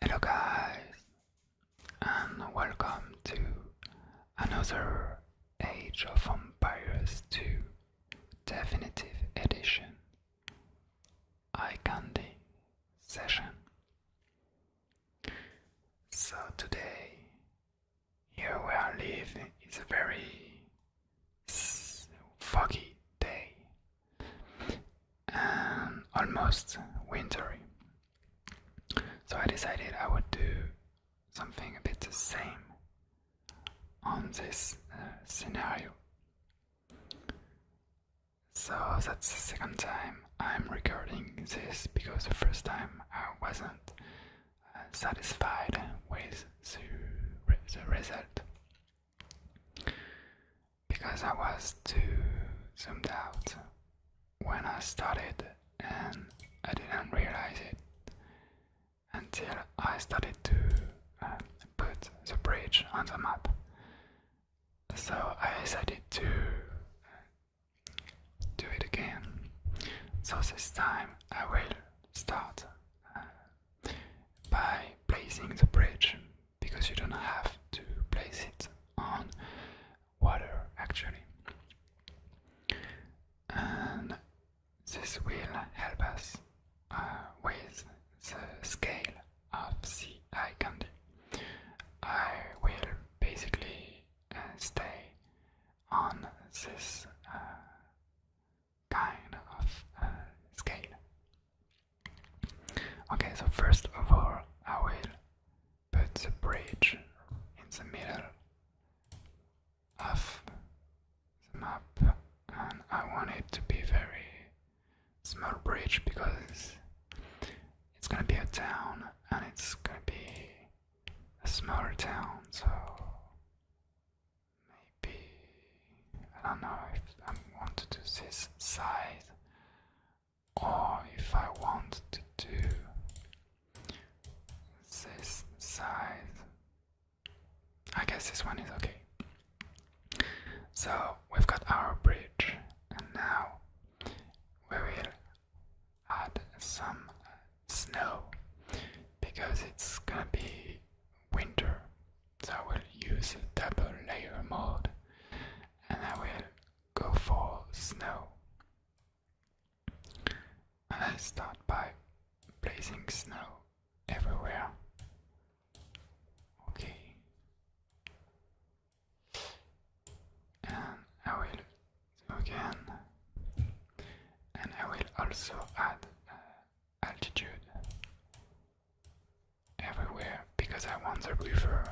Hello, guys, and welcome to another Age of Empires 2 Definitive Edition Eye Candy Session. So, today, here where I live, is a very foggy day almost wintry. So I decided I would do something a bit the same on this uh, scenario. So that's the second time I'm recording this because the first time I wasn't uh, satisfied with the, the result because I was too zoomed out when I started and I didn't realize it until I started to um, put the bridge on the map. So I decided to uh, do it again. So this time I will start uh, by placing the bridge because you don't have to place it on water actually. And this will help us uh, with the scale of the eye candy. I will basically uh, stay on this uh, kind of scale. Okay, so first of all, I will put the bridge in the middle of the map, and I want it to be very small bridge because it's gonna be a town and it's gonna be a smaller town, so maybe I don't know if I want to do this side or if I want to do this size. I guess this one is okay. So we've got our bridge, and now we will add some snow because it's gonna be winter. So we will use double layer mode and I will go for snow. And I start by placing snow everywhere. Okay. And I will again. And I will also add uh, altitude everywhere because I want the river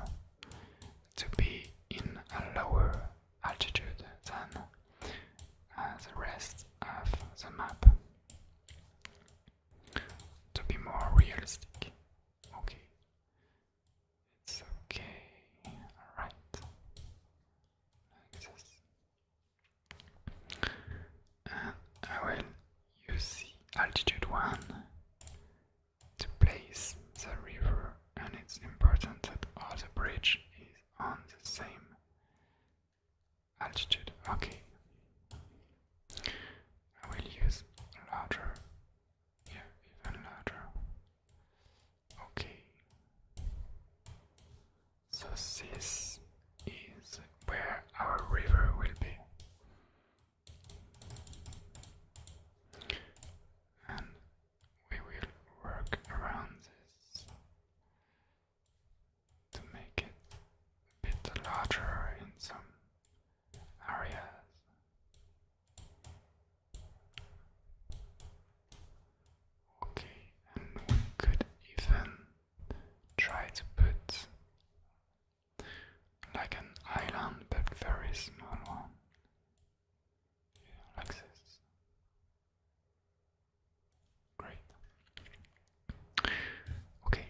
to be in a lower altitude than uh, the rest of the map to be more realistic. Okay, it's okay, alright, I will use altitude one the place, the river, and it's important that all the bridge is on the same altitude. Okay. I will use larger. Yeah, even larger. Okay. So this is where our river will be and we will work around this to make it a bit larger in some areas. Okay, and we could even try to put like an island but very small one. like this. Great. Okay.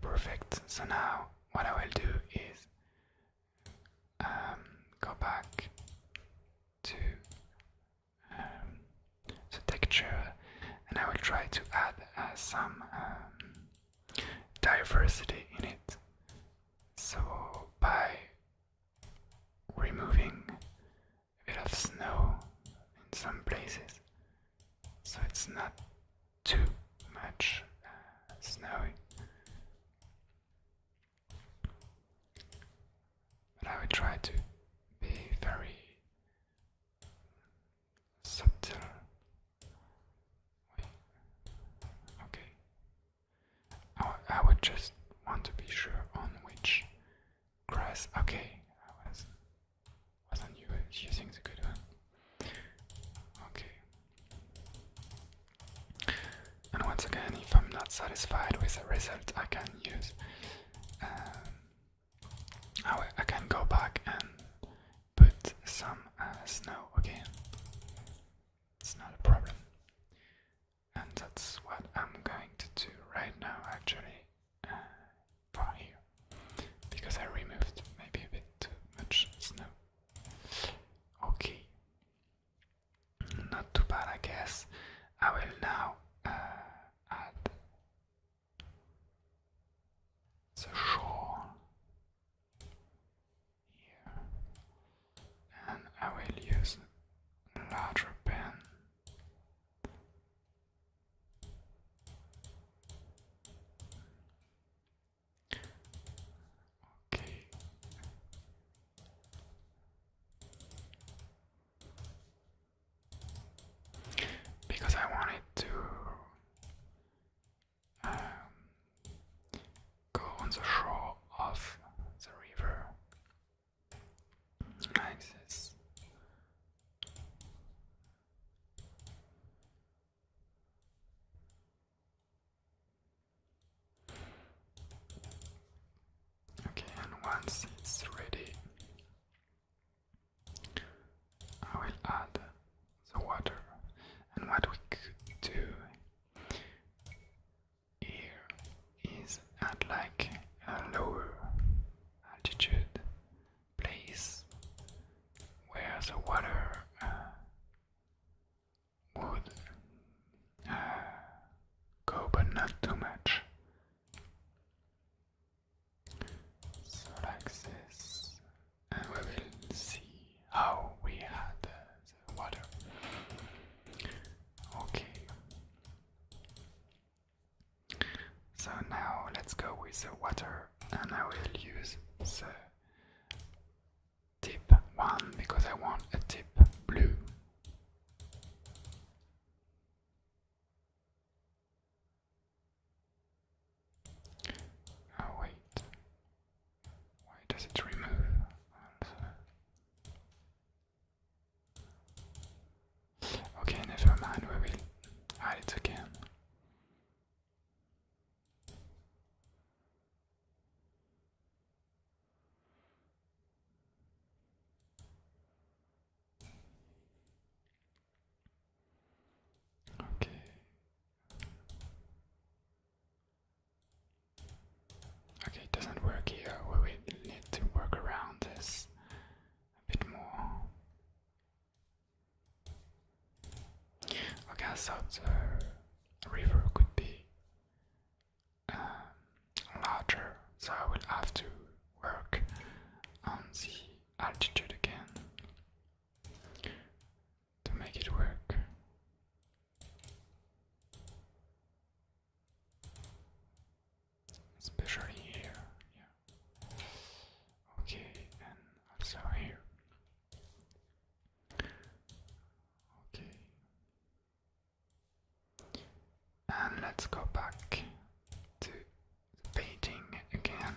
Perfect. So now what I will do is um, go back to um, the texture and I will try to add uh, some um, diversity in it. So by removing a bit of snow in some places, so it's not too much uh, snowy. I will try to be very subtle. Okay. I, I would just want to be sure on which grass. Okay, I was wasn't uh, using the good one. Okay. And once again, if I'm not satisfied with the result, I can use. Um, I, can go back and put some uh, snow again. It's not a problem. And that's what I'm going to do right now, actually, for uh, here. Because I removed maybe a bit too much snow. Okay. Not too bad, I guess. I will now uh, add the shore here, and I will use a larger pen. Okay. Because I wanted to um, go on the shore of the river Okay, and once it's ready, I will add the water. And what we could do here is at like a lower altitude place where the water uh, wood. Go, but not too much. So like this, and we will see how we had the water. Okay. So now let's go with the water, and I will use the tip 1 because I want a tip blue. Oh wait, why does it remove? Okay, never mind, we will add it again. Okay. Okay, it doesn't work here. We will need to work around this a bit more. I thought the uh, river could be um, larger, so I will have to work on the altitude again to make it work. Especially here, yeah. Okay, and also here. Okay. And let's go back to the painting again.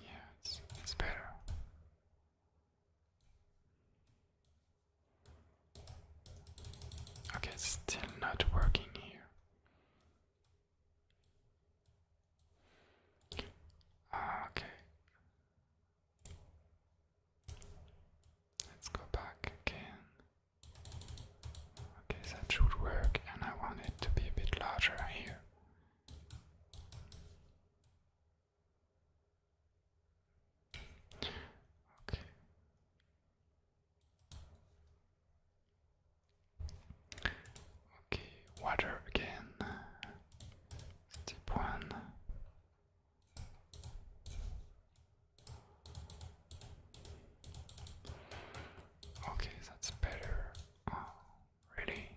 Yeah, it's, it's better. Okay, still not working here. Ah, okay. Let's go back again. Okay, that should work, and I want it to be a bit larger here. Okay. Okay, water again. Step one. Okay, that's better. Oh, really?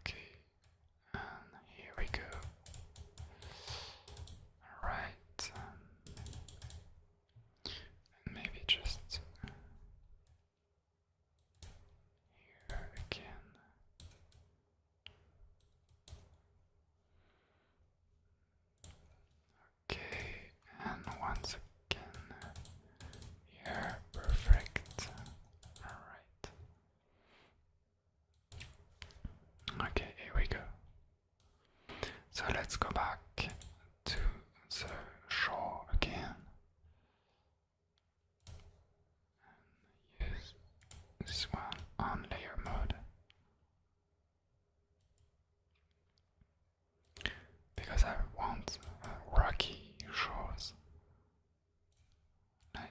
Okay, and here we go. All right, um, maybe just here again. Okay, and once again, here, perfect. Alright. Okay, here we go. So let's go back to the shore again use this one on layer mode because I want uh, rocky shores like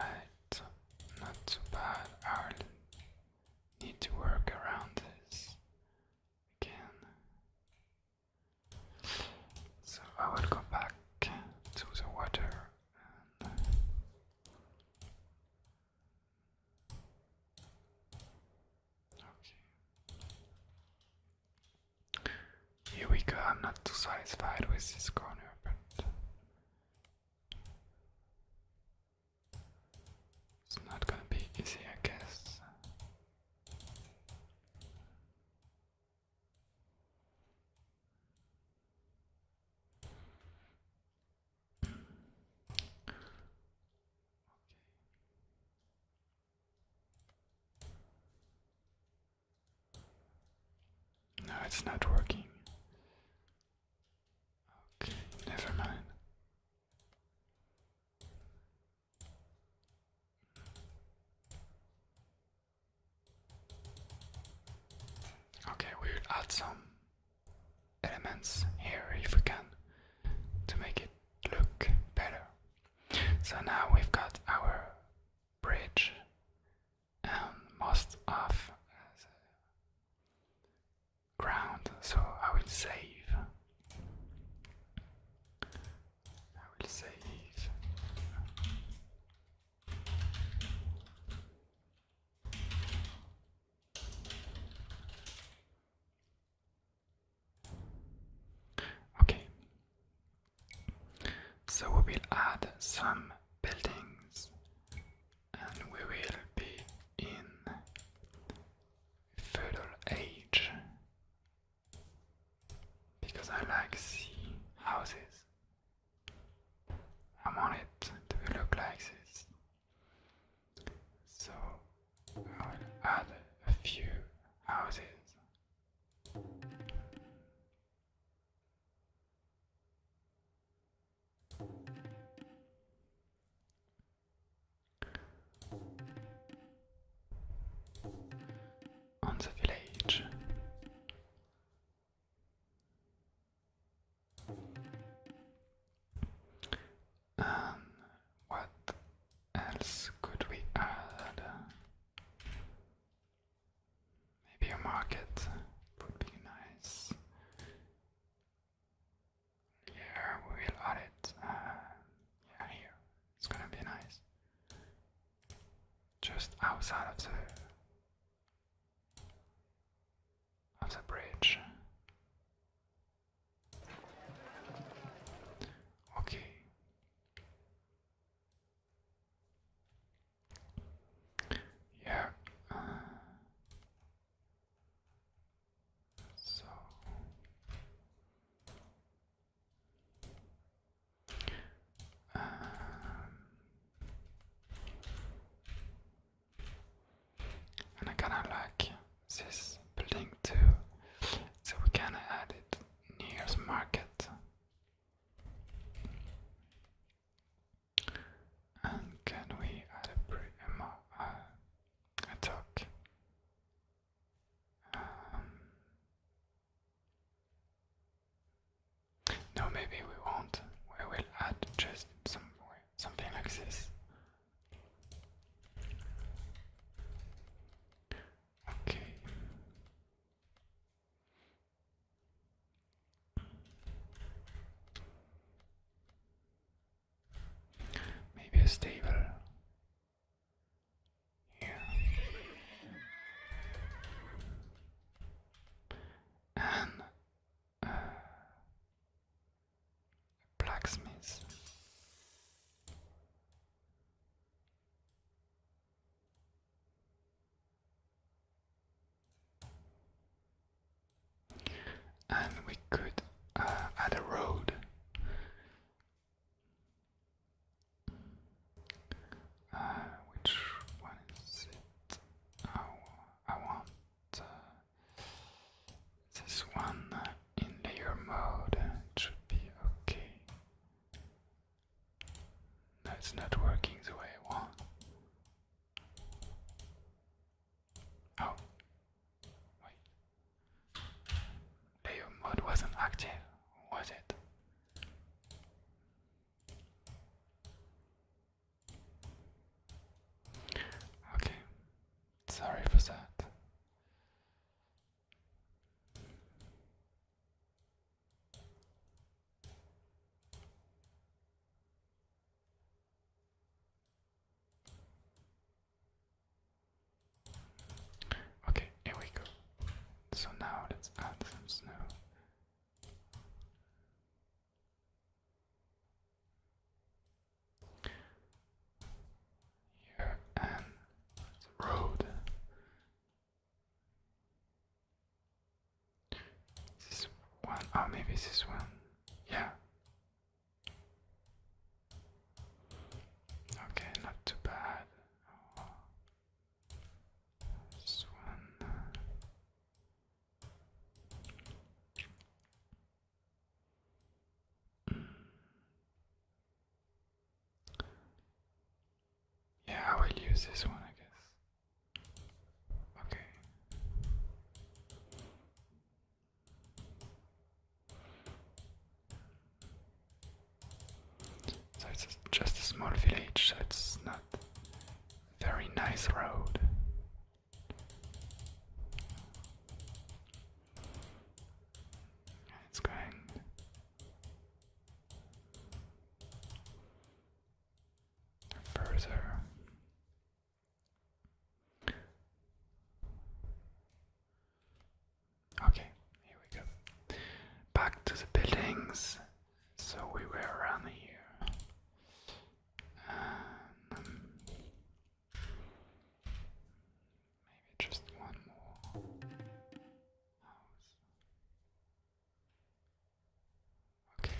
Alright, not too bad. need to work around this again. So I will go back to the water okay. Here we go. I'm not too satisfied with this corner, but it's not gonna be easy, I guess. No, it's not working. Okay, never mind. Okay, we will add some elements here if we can to make it look better. So now we've got our bridge and most of ground, so I will save I will save. Okay, so we will add some buildings and we will be in feudal age because I like the houses. I want it to look like this. So I'll add a few houses on the village. And what else could we add? Maybe a market would be nice. Yeah, we will add it. Uh, yeah, here. It's gonna be nice. Just outside of the of the bridge. Okay. Yeah. Uh, so um, I kinda like this building too, so we can add it near the market and can we add a, pre a, uh, um, no, maybe we won't. We will add just some something like this. Okay. Maybe a stable here, and a blacksmith. And we could uh, add a road uh, which one is it? Oh, I want uh, this one in layer mode. should be okay. No, it's not working the way I want. Oh, wait. Player mode wasn't active, was it? Okay, sorry for that. Okay, here we go. So now let's add some snow. Here and the road. This one, oh, maybe this one. Yeah. Okay, not too bad this one. Yeah, I will use this one, I Okay. So it's just a small village, so it's not very nice road. It's going. Further, Okay, here we go. Back to the buildings. So we were around here. Um, maybe just one more Okay.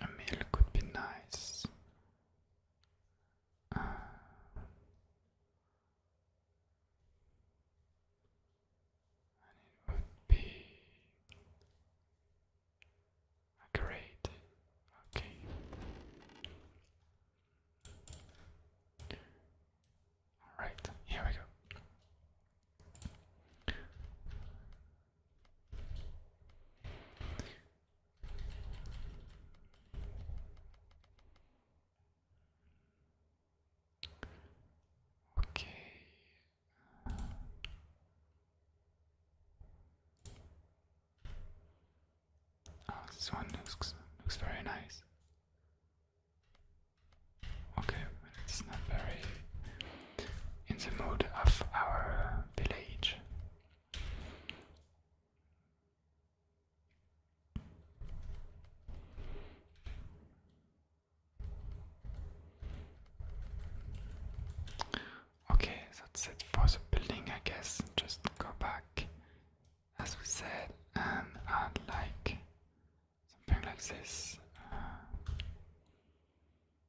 A meal could be nice. Uh, and it would be great. Okay. All right. Here we go. Okay. Oh, this one looks looks very nice. Okay, it's not very in the mood of our village. Okay, that's it for the building, I guess. Just go back, as we said, and um, add like something like this. Uh,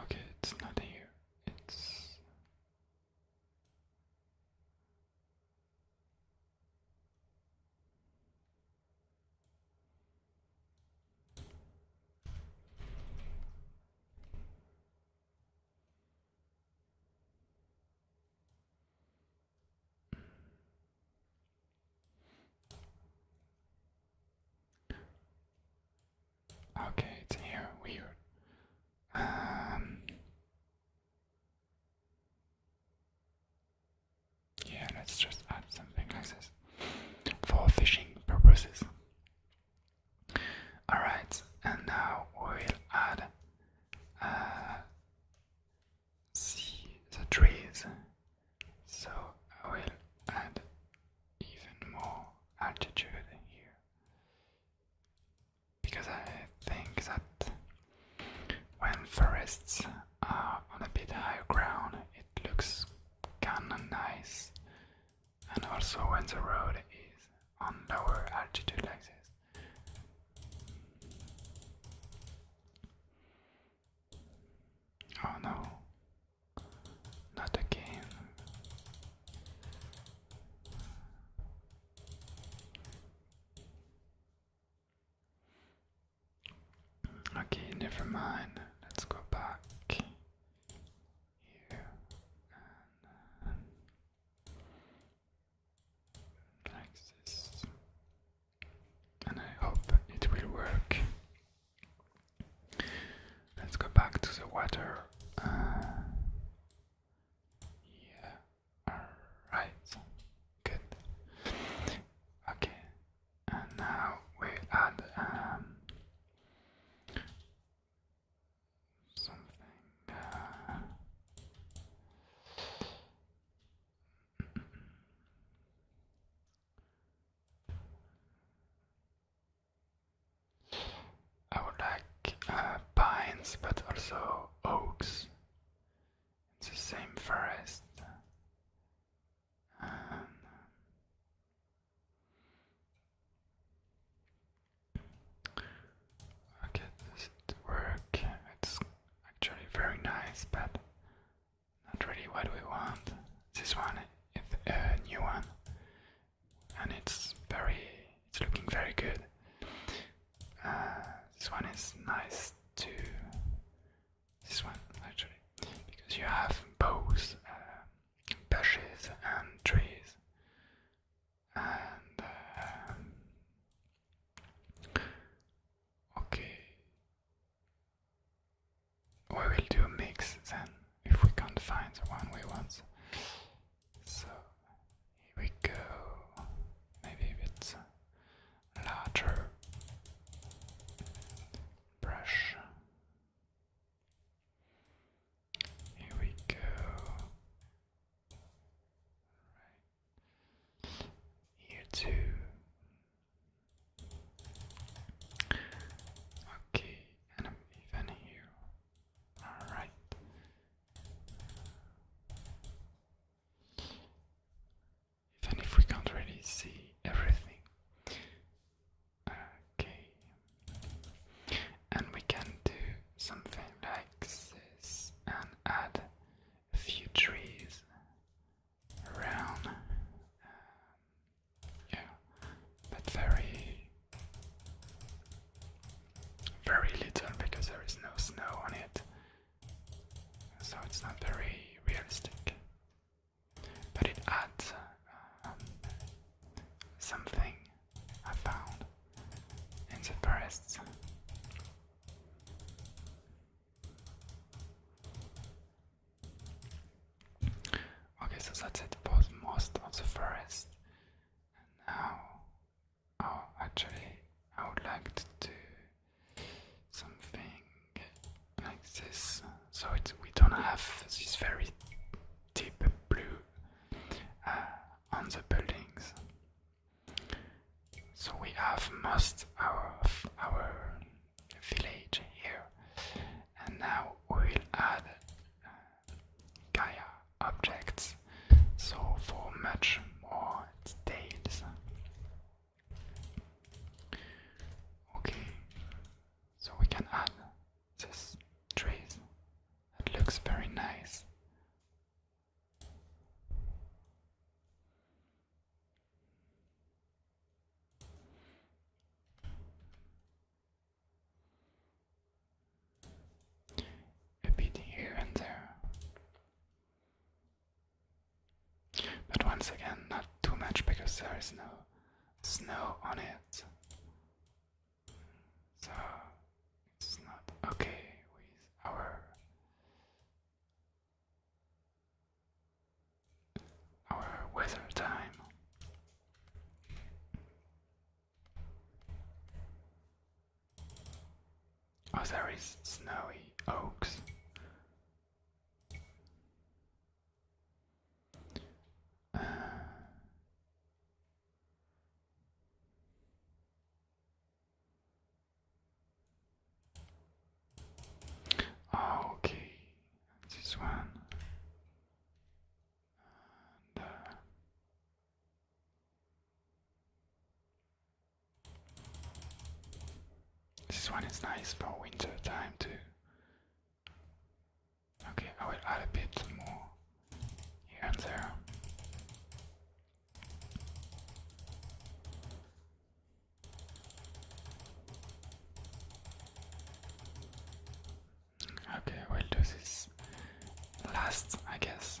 Okay, it's not here. It's Okay, it's here. Weird. Um, yeah, let's just add something like this for fishing purposes. Alright, and now we'll add uh, see the trees. So I will add even more altitude here because I think that when forests are on a bit higher ground, it looks kinda nice and also when the road is on lower altitude like this. Oh no, not again. Okay, never mind. Let's go back here and like this, and I hope it will work. Let's go back to the water. Uh, yeah, alright, good. Okay, and now we add um, something uh, I would like uh, pines but also oaks. It's the same forest. Um, okay, this did work. It's actually very nice, but not really what we want. This one is a new one, and it's very, it's looking very good. Uh, this one is nice too. This one actually, because you have both um, bushes and trees and um, okay we will do a mix then if we can't find the one we want so here we go maybe it's larger brush here we go. Right. Here too. Okay, and I'm even here. Alright. Even if we can't really see everything, Okay. And we can do something like this and add a few trees around. Um, yeah, but very, very little because there is no snow on it, so it's not very realistic but it adds uh, um, something I found in the forest. Okay, so that's it for most of the forest. And now, oh, actually, I would like to do something like this so we don't have this very deep blue uh, on the buildings. So we have most of our village here, and now we will add uh, Gaia objects, so for much more details. Okay, so we can add these trees. It looks very nice. A bit here and there. But once again, not too much because there is no snow on it. So it's not okay with our our weather time. Oh, there is snowy oaks. Ah, okay, this one. Uh, this one is nice for winter time too. Okay, I will add a bit more here and there. Okay, we'll do this last, I guess.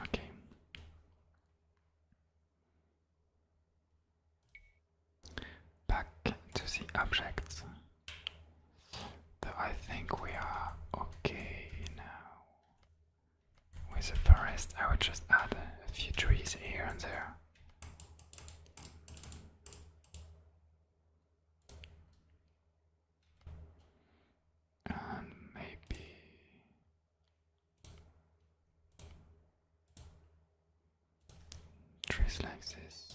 Okay. Back to the objects. I think we are okay now. With the forest, I would just add a few trees here and there. And maybe. Trees like this.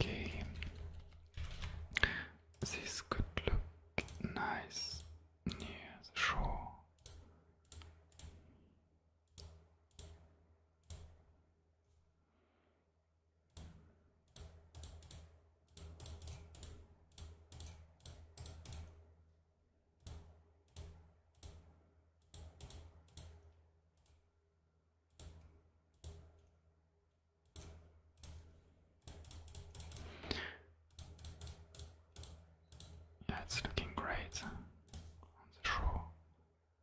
Okay, this could look nice near the shore. Yeah, it's looking great on the shore.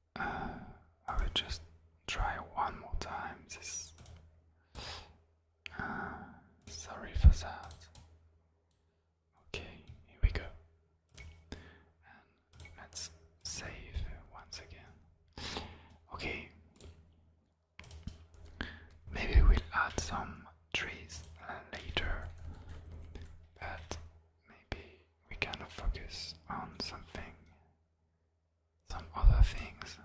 I will just try one more time. This. Uh, sorry for that. Okay, here we go. let's save once again. Okay. Maybe we'll add some trees later, but maybe we can focus on something some other things.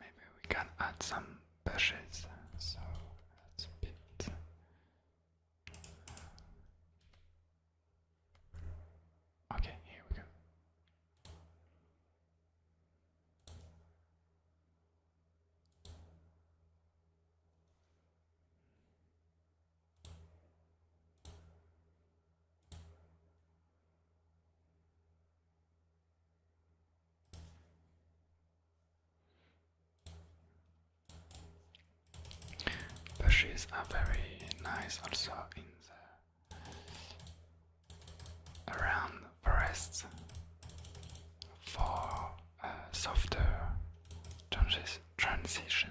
Maybe we can add some bushes, so that's a bit. Okay, here we go. Bushes are very nice also in the around forests for a uh, softer transi transition.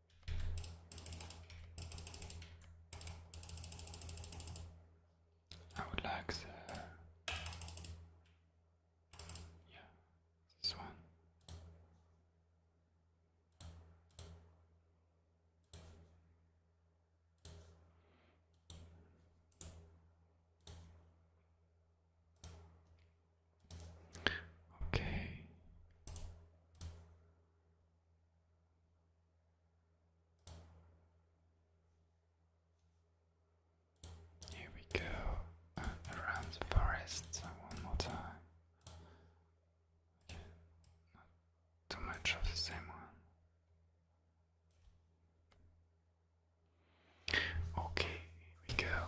I would like the yeah this one. Okay, here we go, uh, around the forest uh, one more time. Okay. Not too much of the same one. Okay, here we go.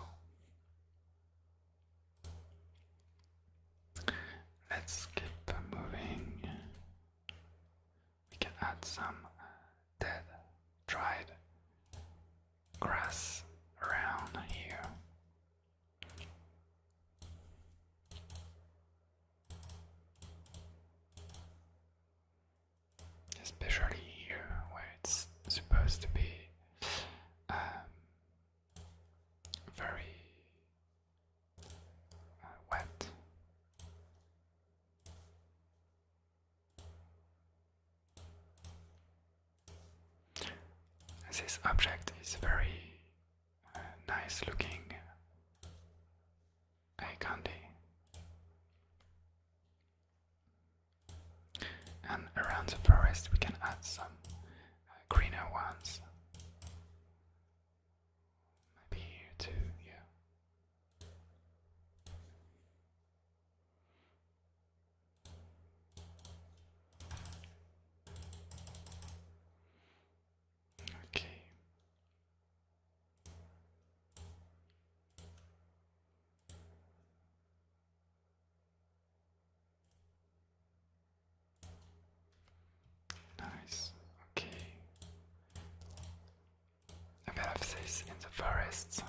Let's keep moving. We can add some dead, dried grass around here. Especially here where it's supposed to be um, very uh, wet. This object is very uh, nice looking candy. And around the forest, we can add some greener ones. Maybe here too, yeah. Okay. Nice, okay. A this in the forests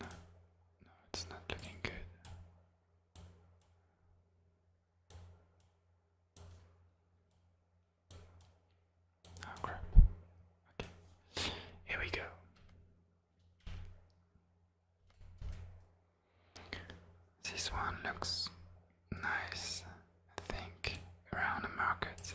no, it's not looking good. Oh crap. Okay. Here we go. This one looks nice, I think, around the market.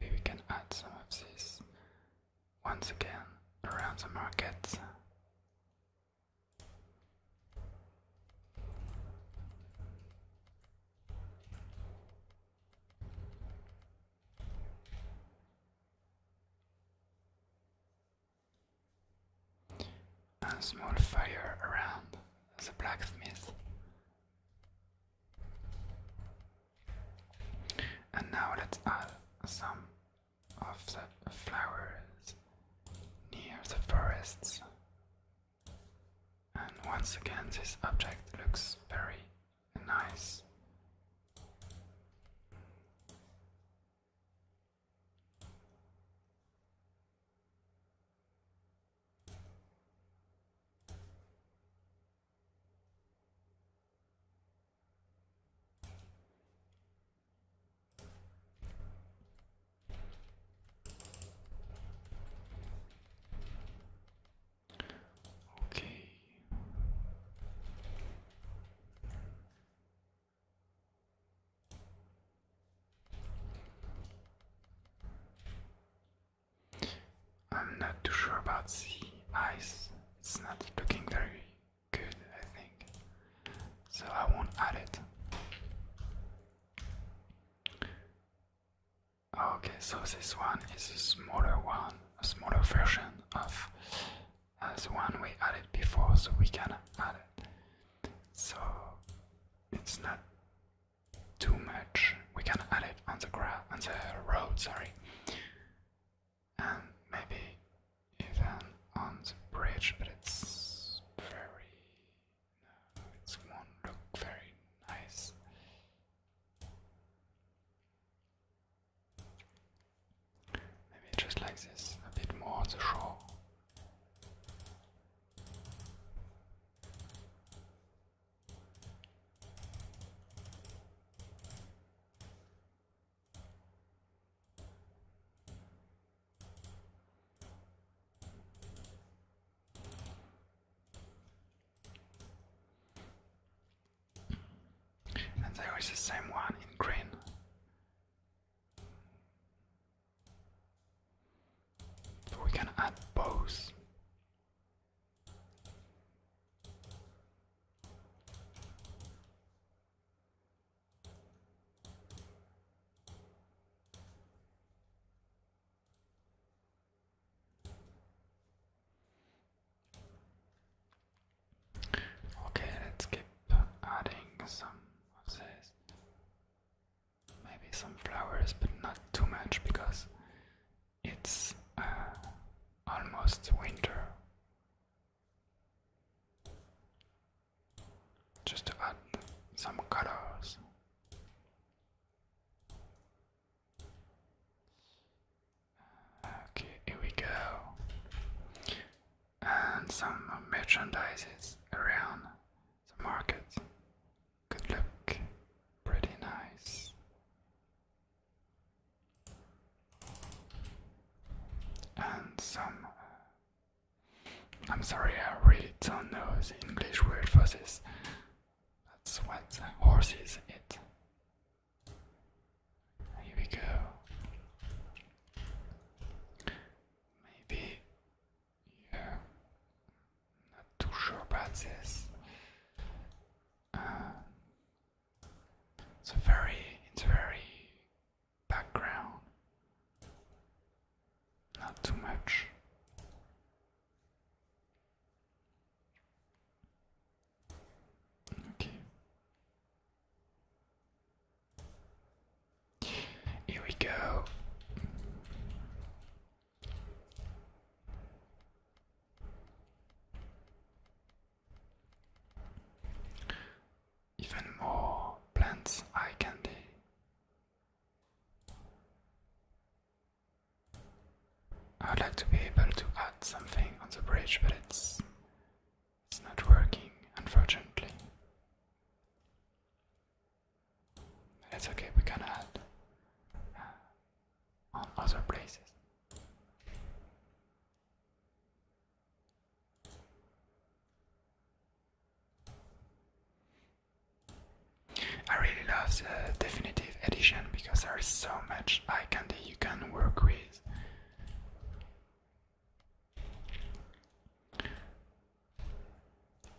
maybe we can add some of these once again around the market. A small fire around the blacksmith. And now let's add some of the flowers near the forests. And once again, this object looks very Nice. Okay, I'm not too sure about the ice, it's not looking very good, I think, so I won't add it. Okay, so this one is a smaller one, a smaller version of as one we added before, so we can add it. So it's not too much. We can add it on the ground, on the road, sorry, and maybe even on the bridge, but it's very. No, it won't look very nice. Maybe just like this, a bit more on the shore. And there is the same one in green. So we can add both. Okay, let's keep adding some of Maybe some flowers, but not too much because it's uh, almost winter. Just to add some colors. Okay, here we go. And some merchandises around the market Good look pretty nice. And some. I'm sorry, I really don't know the English word for this. That's what is eat. Here we go. Maybe, yeah, not too sure about this. Um, it's a very, it's a very background. Not too much. Here we go. Even more plants eye candy. I would like to be able to add something on the bridge, but it's it's not working, unfortunately. it's okay, we can add uh, on other places. I really love the definitive edition because there is so much eye candy you can work with.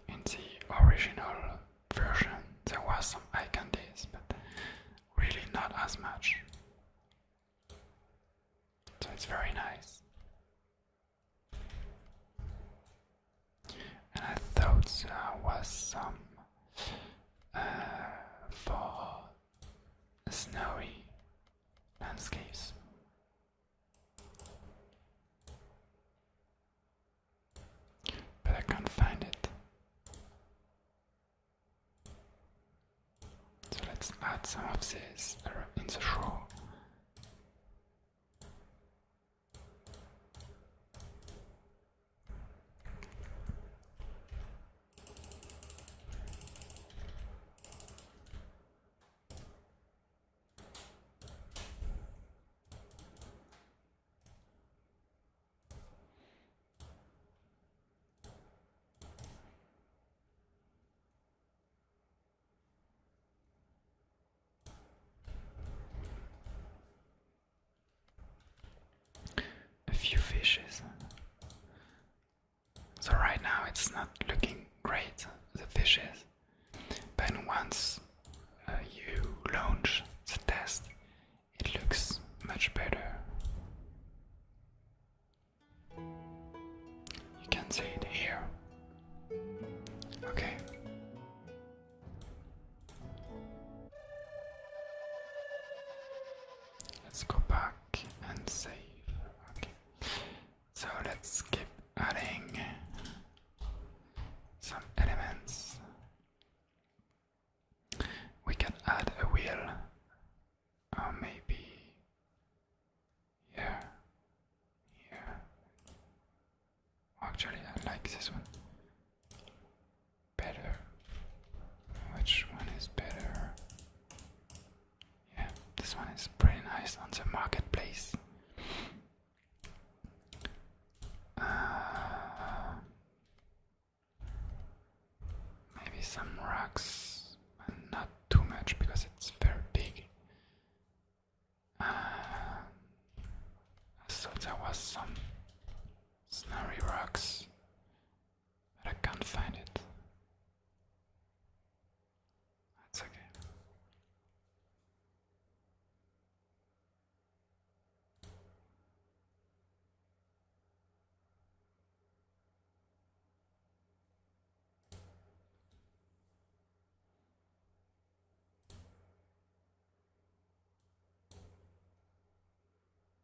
In the original version, there was some eye but really not as much. So it's very nice. And I thought there was some uh, for snowy landscapes. But I can't find it. So let's add some of this in the show. A few fishes so right now it's not looking great, the fish is. But once uh, you launch the test, it looks much better. You can see it here. Okay. Let's go back and save. Okay. So let's keep adding some elements. We can add a wheel, or maybe here, here. Actually, I like this one better. Which one is better? Yeah, this one is pretty nice on the marketplace. Uh, maybe some rocks, but not too much because it's very big. Uh, so there was some snowy rocks. But I can't find it. That's okay.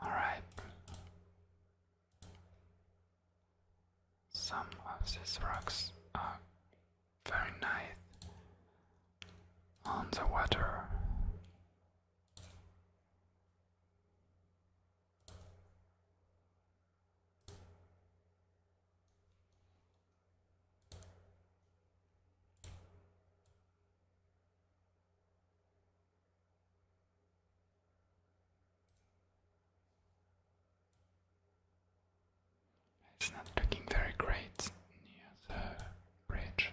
All right. Some of these rocks are very nice on the water. It's not looking very great near the bridge.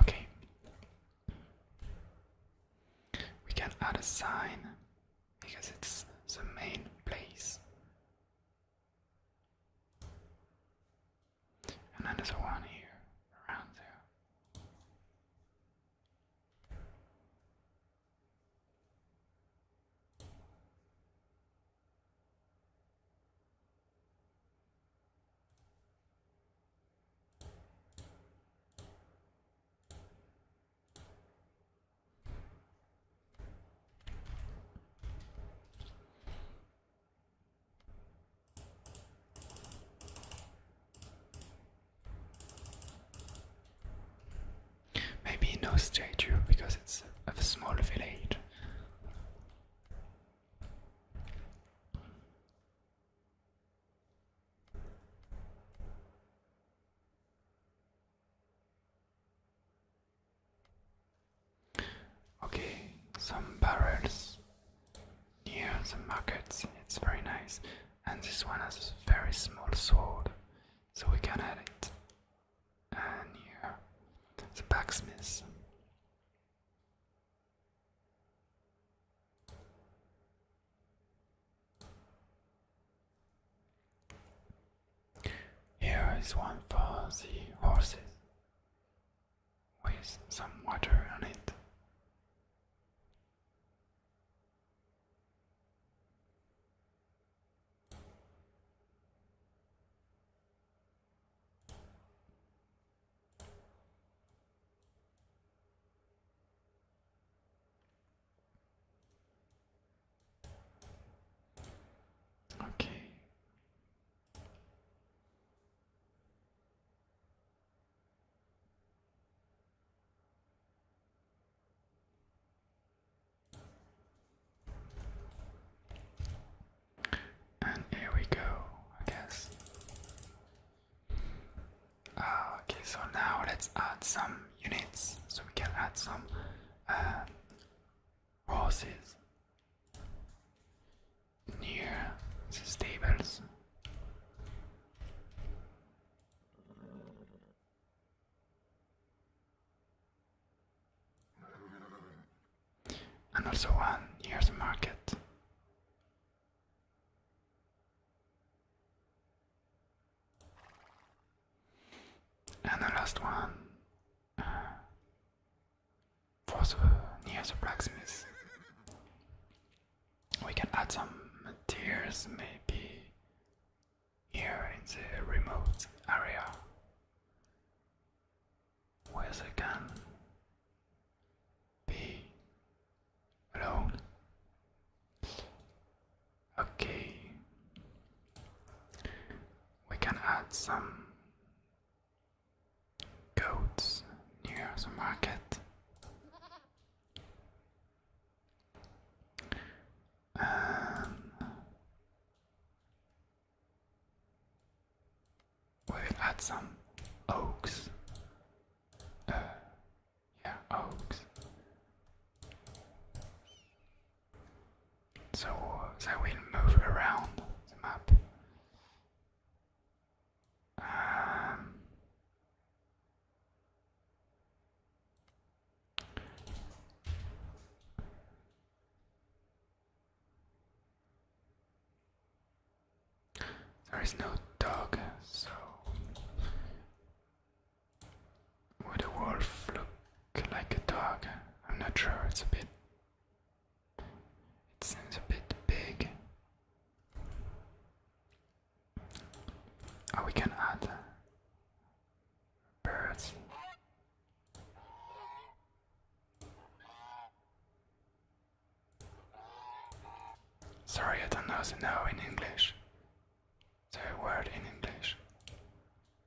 Okay. We can add a sign because it's the main place and then there's a one here, around there. Maybe no statue because it's of a small village. Okay, some barrels near the market. It's very nice. And this one has a very small sword, so we can add it. And the blacksmith. Here is one for the horses with some water on it. Okay, and here we go, I guess. Uh, okay, so now let's add some units so we can add some uh, horses near the stables. And also one near the market. And the last one uh, for the near the blacksmith. We can add some materials maybe here in the remote area where they can be alone. Okay, we can add some goats near the market. we add some oaks. Uh, yeah, oaks so they will move around the map. Um, there is no dog, so would a wolf look like a dog? I'm not sure, it's a bit it seems a bit big. Oh, we can add birds. Sorry, I don't know the no in English. The word in English.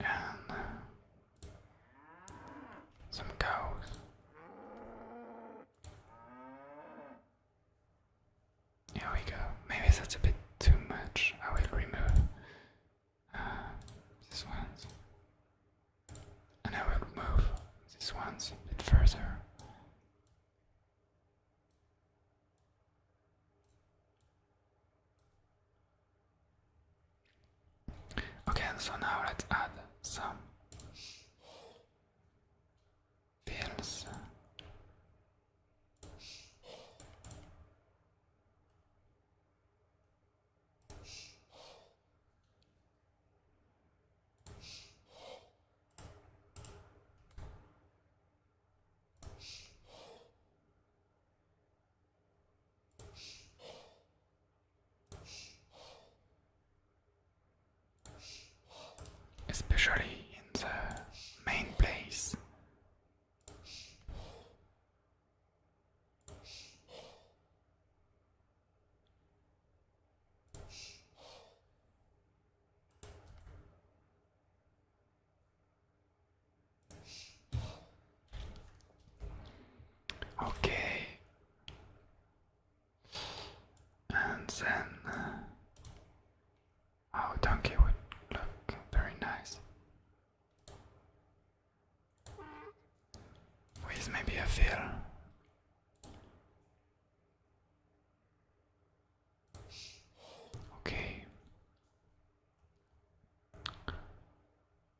and some cows. Here we go. Maybe that's a bit too much. I will remove uh, these ones, and I will move these ones a bit further. Okay, so now let's add some pills especially in the main place. Okay. And then uh, our donkey would look very nice. With maybe a fill. Okay.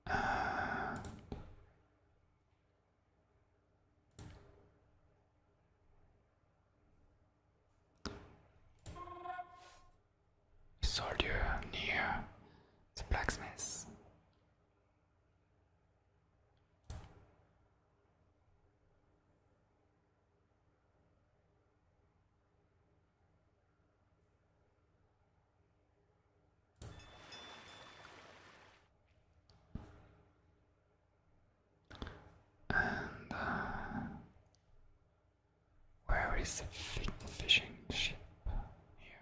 Uh, soldier near the blacksmith. And uh, where is the fishing ship here?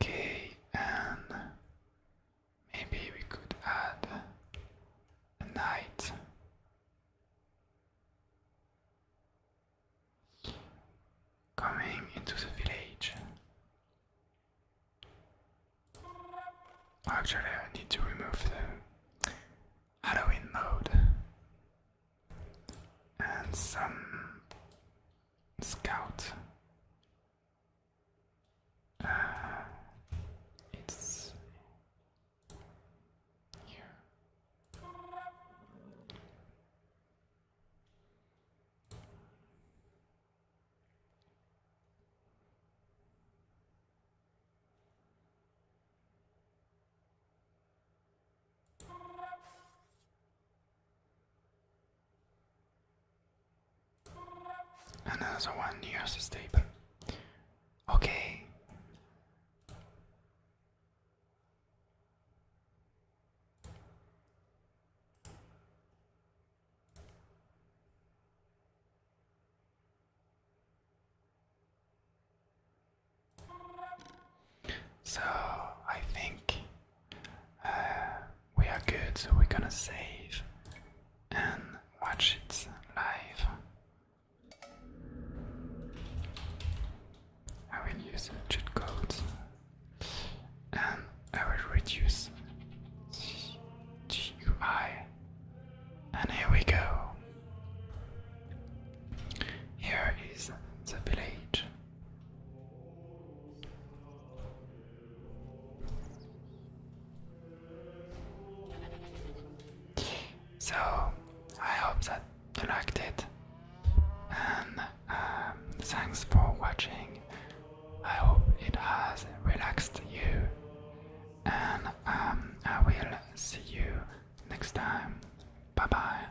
Okay, and maybe we could add a night coming into the village. Actually, I need to remove the Halloween mode and some scout. Uh, it's here. Another one near the table. Okay, so I think uh, we are good, so we're gonna save and watch it live. I will use cheat codes and I will reduce the GUI. And here we go. Here is the village. So I hope that you liked it, and um, thanks for watching. I hope it has relaxed you, and um, I will see you next time. Bye bye.